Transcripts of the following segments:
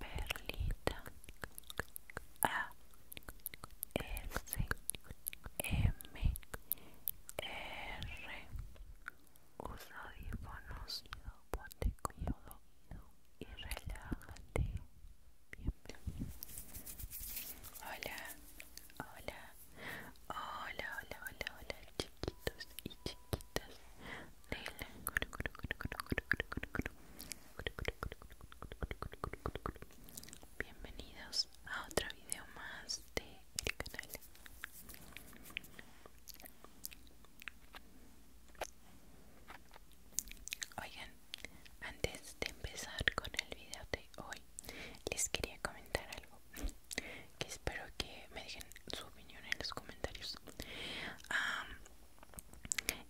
Perlita A S M R Usa audífonos, ponte cómodo y relájate. Hola, hola, hola, hola, hola, hola, chicos chiquitos y chiquitas de la Bienvenidos a otro video más de el canal. Oigan, antes de empezar con el video de hoy, les quería comentar algo que espero que me dejen su opinión en los comentarios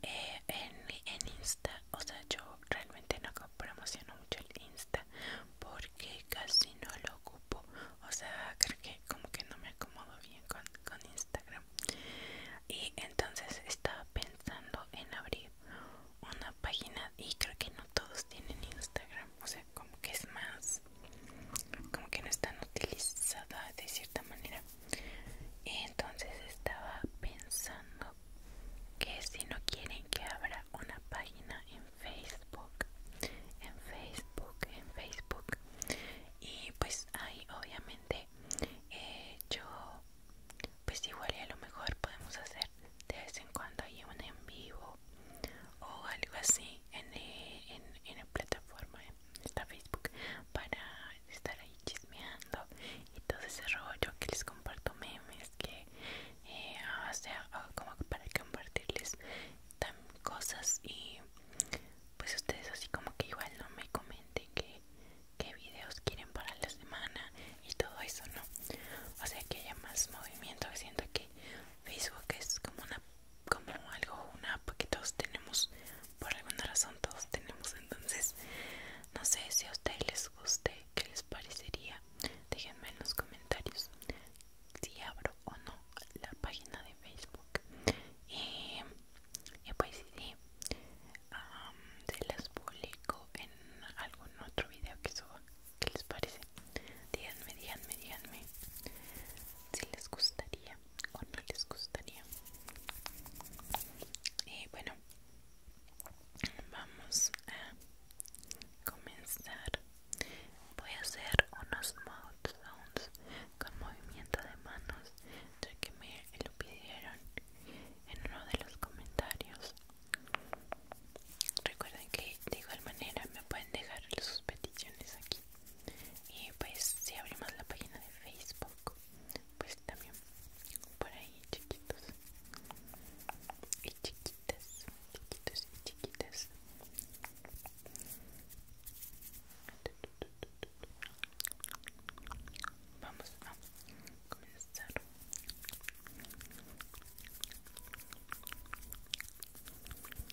eh, en, insta o sea yo realmente no promociono mucho el insta porque casi no lo ocupo o sea creo que como que no me acomodo bien con, con instagram y entonces estaba pensando en abrir una página y creo que no todos tienen instagram o sea como que es más como que no están utilizadas de cierta manera entonces estaba pensando que si no quieren que abra una página en facebook en facebook en facebook y pues ahí obviamente eh, yo pues igual y a lo mejor podemos hacer de vez en cuando hay un en vivo o, algo así en, eh, en la plataforma esta Facebook para estar ahí chismeando y todo ese rollo que les comparto memes que eh, o sea como para compartirles cosas y pues ustedes así como que igual no me comenten que qué videos quieren para la semana y todo eso no o sea que haya más movimiento siento que Facebook es como una como algo, una app que todos tenemos, por alguna razón todos tenemos, entonces no sé si a ustedes les guste, qué les parecería, déjenme en los comentarios si abro o no la página de Facebook eh, y, pues sí, ah, se las publico en algún otro video que suba ¿Qué les parece? Díganme, díganme, díganme si les gustaría o no les gustaría. Y bueno, vamos a comenzar. Voy a hacer unos mouth sounds con movimiento de manos, ya que me lo pidieron en uno de los comentarios recuerden que de igual manera me pueden dejar sus peticiones aquí y pues si abrimos la página de Facebook pues también por ahí chiquitos y chiquitas chiquitos y chiquitas vamos a comenzar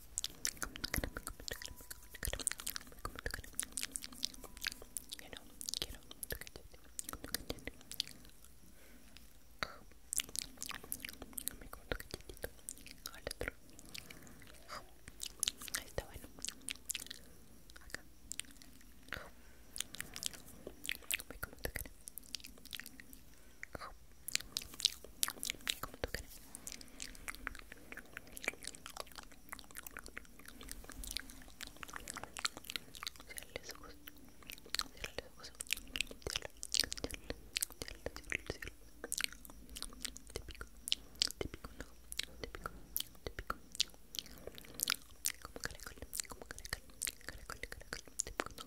You know, you know. Al otro. Ahí está bueno. Acá. Come, come tu cara. Come tu cara. los ojos, cierra los ojos, cierra, cierra, cierra, cierra, cierra. Te pico, te pico Como caracol, como caracol, caracol, caracol, te pico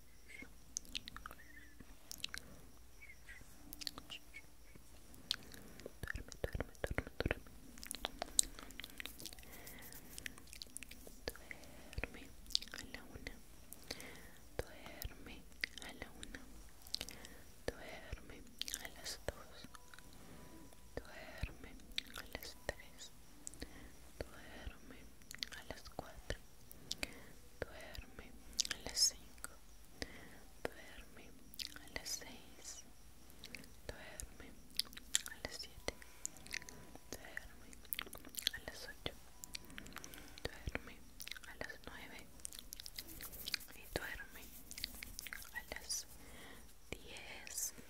duerme, duerme, duerme duerme a la una duerme a la una duerme a las dos duerme a las tres duerme a las cuatro duerme a las 5 duerme a las 6 duerme a las 7 duerme a las 8 duerme a las 9 y duerme a las 10